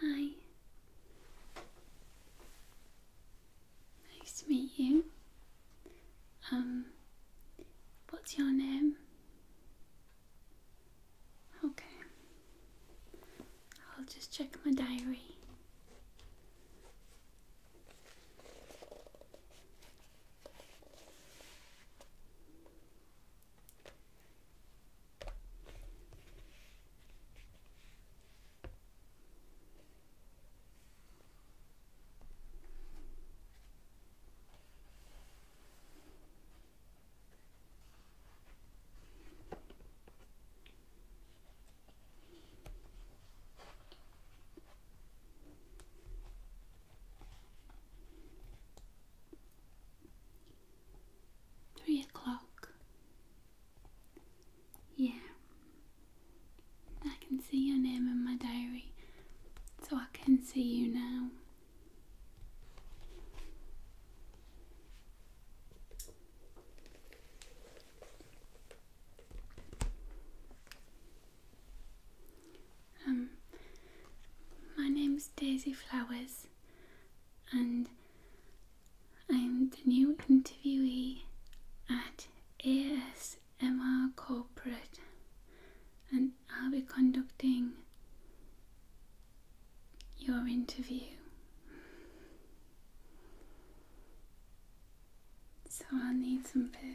Hi. Nice to meet you. Um, what's your name? Okay. I'll just check my diary. Three o'clock. Yeah. I can see your name in my diary, so I can see you now. Um, my name is Daisy Flowers, and I'm the new interviewee at ASMR Corporate, and I'll be conducting your interview. So I need some papers.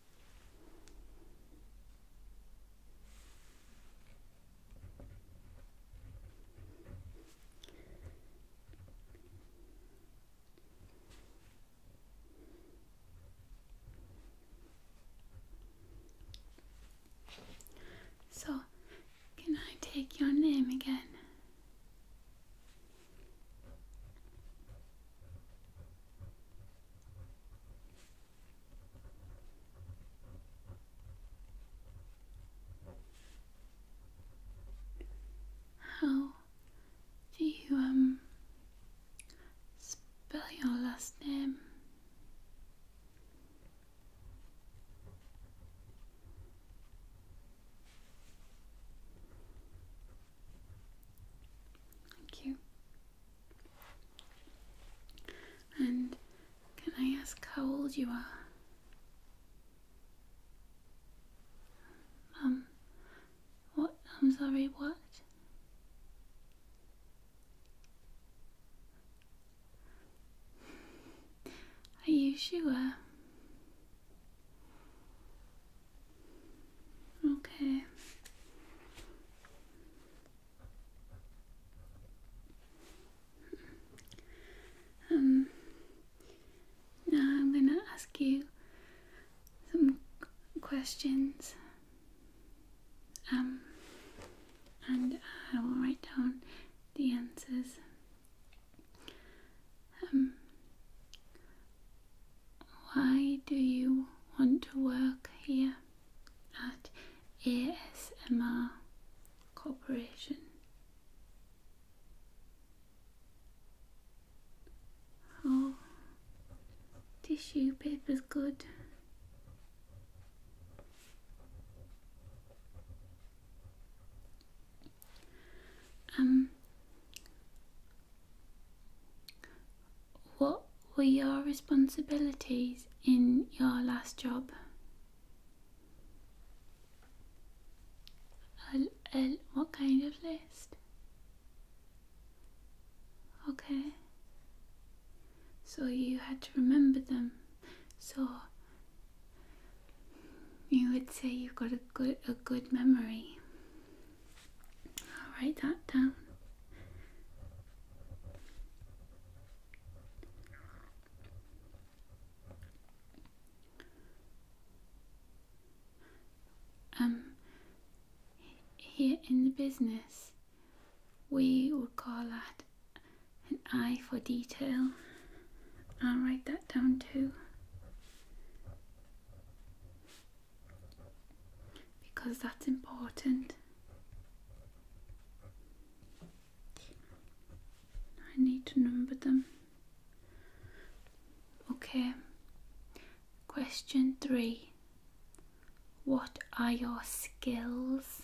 So, can I take your name again? How do you um spell your last name? Thank you. And can I ask how old you are? Um, what? I'm sorry, what? Are you sure? Okay. Um, now I'm going to ask you some questions. Um, and I will write down the answers. Um, why do you want to work here? at ASMR Corporation. Oh, tissue paper's good. Um, what were your responsibilities in your last job? what kind of list? Okay. So you had to remember them. So you would say you've got a good a good memory. I'll write that down. Um, here in the business, we would call that an eye for detail. I'll write that down too because that's important. I need to number them. Okay. Question three What are your skills?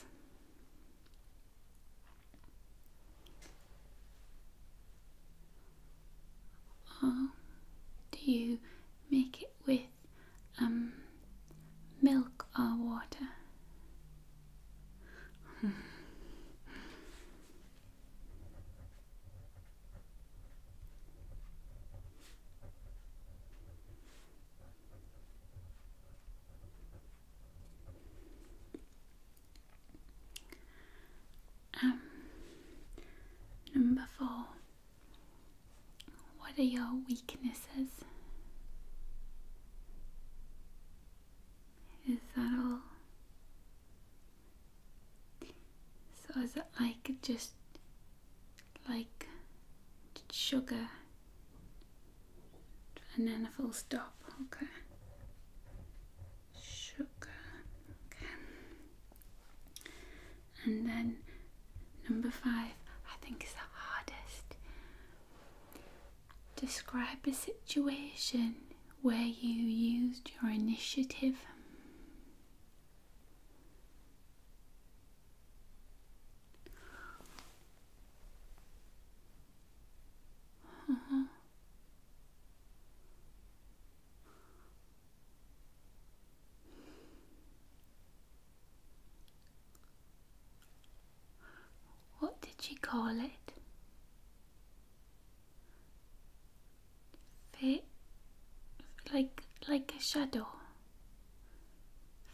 Or do you make it with um, milk or water. um, number four. What are your weaknesses? Is that all? So is it like just like sugar and then a full stop, okay. Sugar, okay. And then number five I think is the hardest Describe a situation where you used your initiative. What did she call it? Fa like like a shadow.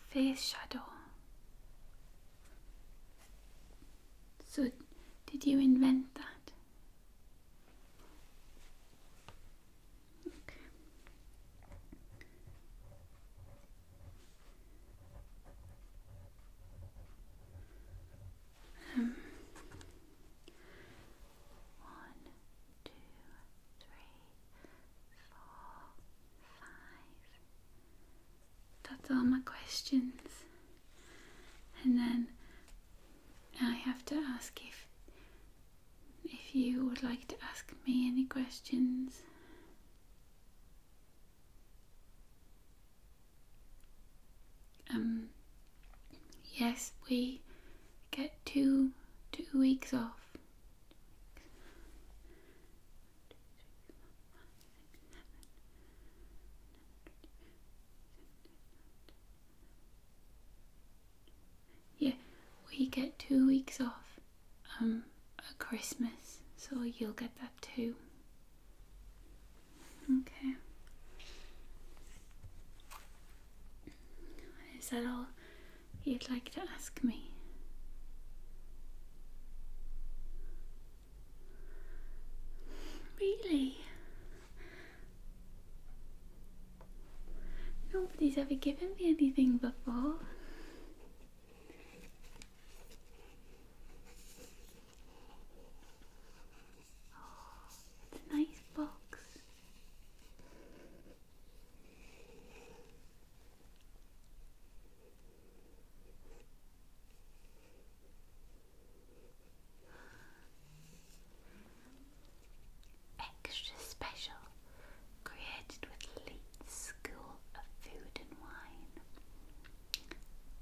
Face shadow. So did you invent that? one, two, three, four, five. That's all my questions. And then I have to ask if if you would like to ask me any questions. Um, yes, we get two two weeks off. Yeah, we get two weeks off um, a Christmas, so you'll get that too. Okay. Is that all you'd like to ask me? Really? Nobody's ever given me anything before it's a nice box. Extra special created with Leeds School of Food and Wine,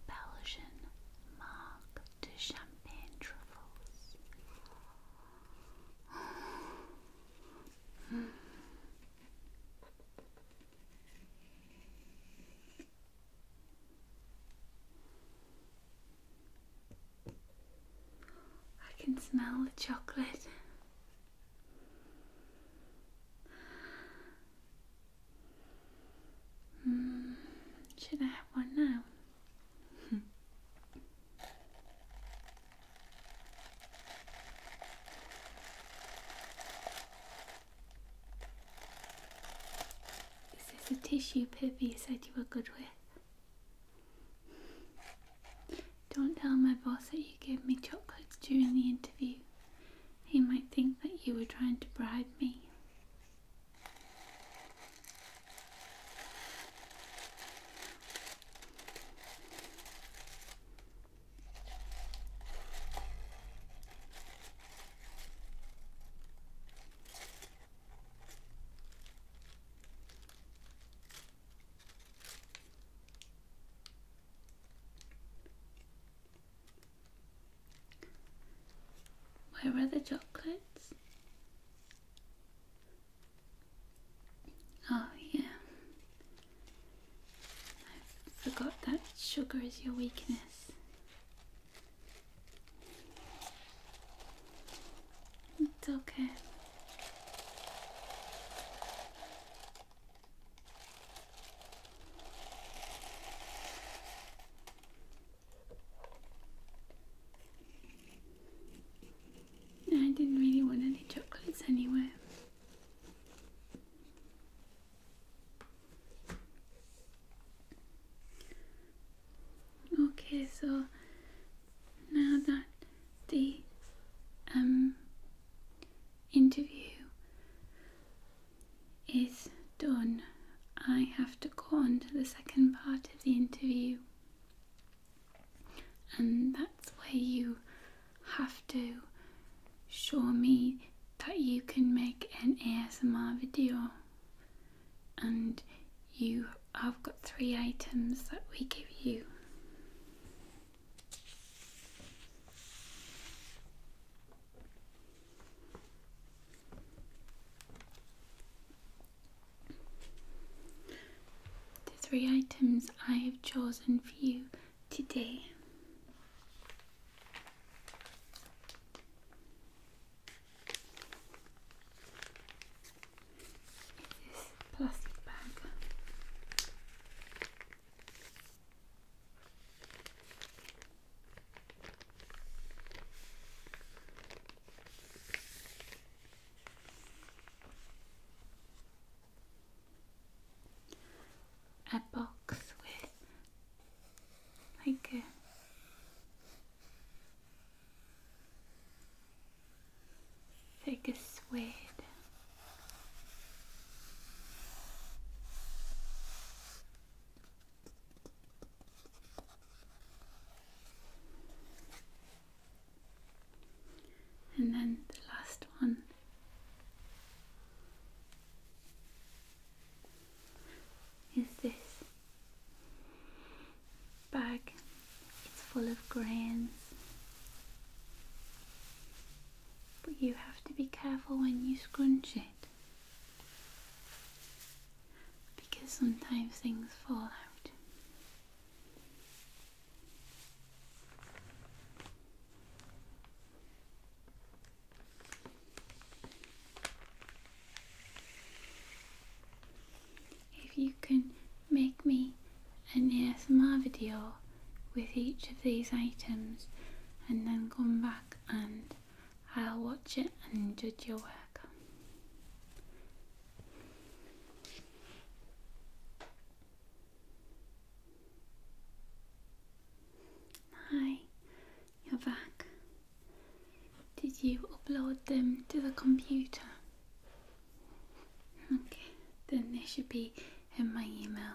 Belgian Mark de Champagne Truffles. I can smell the chocolate. Hmm, should I have one now? Is this a tissue paper said you were good with? Don't tell my boss that you gave me chocolates during the interview. He might think that you were trying to bribe me. Where are the chocolates? Oh, yeah. forgot that sugar is your weakness. It's okay. I didn't really want any chocolates anyway. Okay, so now that the um interview is done, I have to go on to the second part of the interview, and that's where you have to show me that you can make an ASMR video and you i have got three items that we give you. The three items I have chosen for you today is plastic bag. A box with like a like a suede and then the last one. Is this bag? It's full of grains but you have to be careful when you scrunch it because sometimes things fall out. If you can make me an ASMR video with each of these items and then come back and I'll watch it and judge your work. Hi, you're back. Did you upload them to the computer? Okay, then they should be in my email.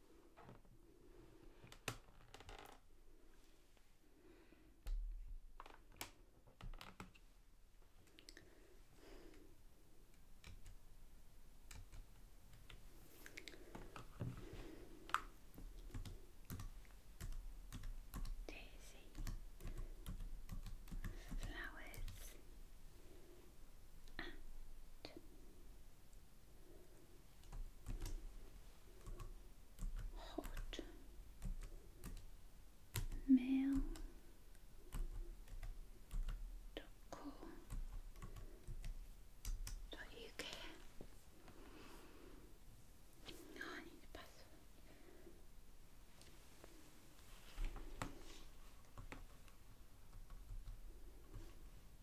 Daisy flowers and hot mail dot co dot uk. No, I need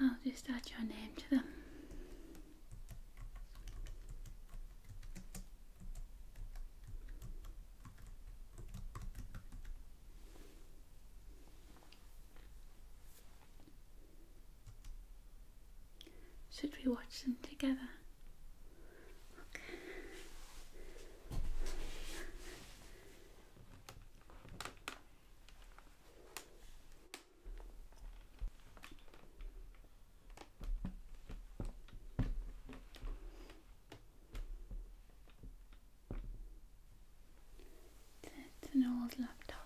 I'll just add your name to them. Should we watch them together? It's an old laptop.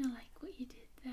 I like what you did there.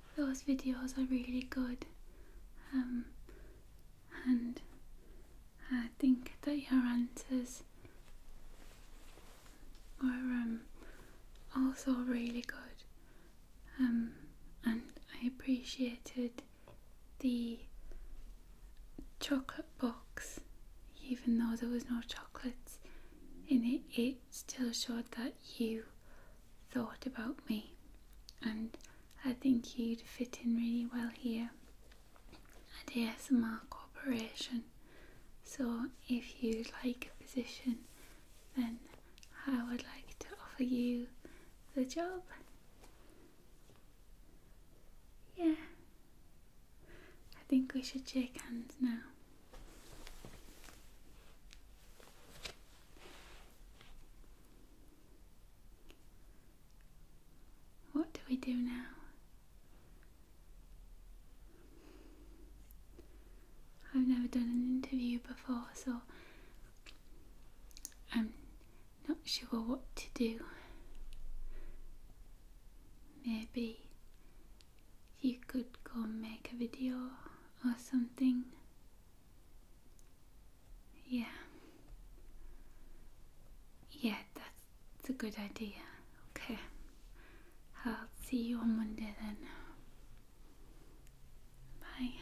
those videos are really good um, and I think that your answers are um, also really good um, and I appreciated the chocolate box even though there was no chocolate in it it still showed that you thought about me, and I think you'd fit in really well here at ASMR Corporation. So, if you'd like a position, then I would like to offer you the job. Yeah, I think we should shake hands now. What do we do now? I've never done an interview before, so I'm not sure what to do. Maybe you could go make a video or something. Yeah. Yeah, that's, a good idea. Okay. I'll see you on Monday then. Bye.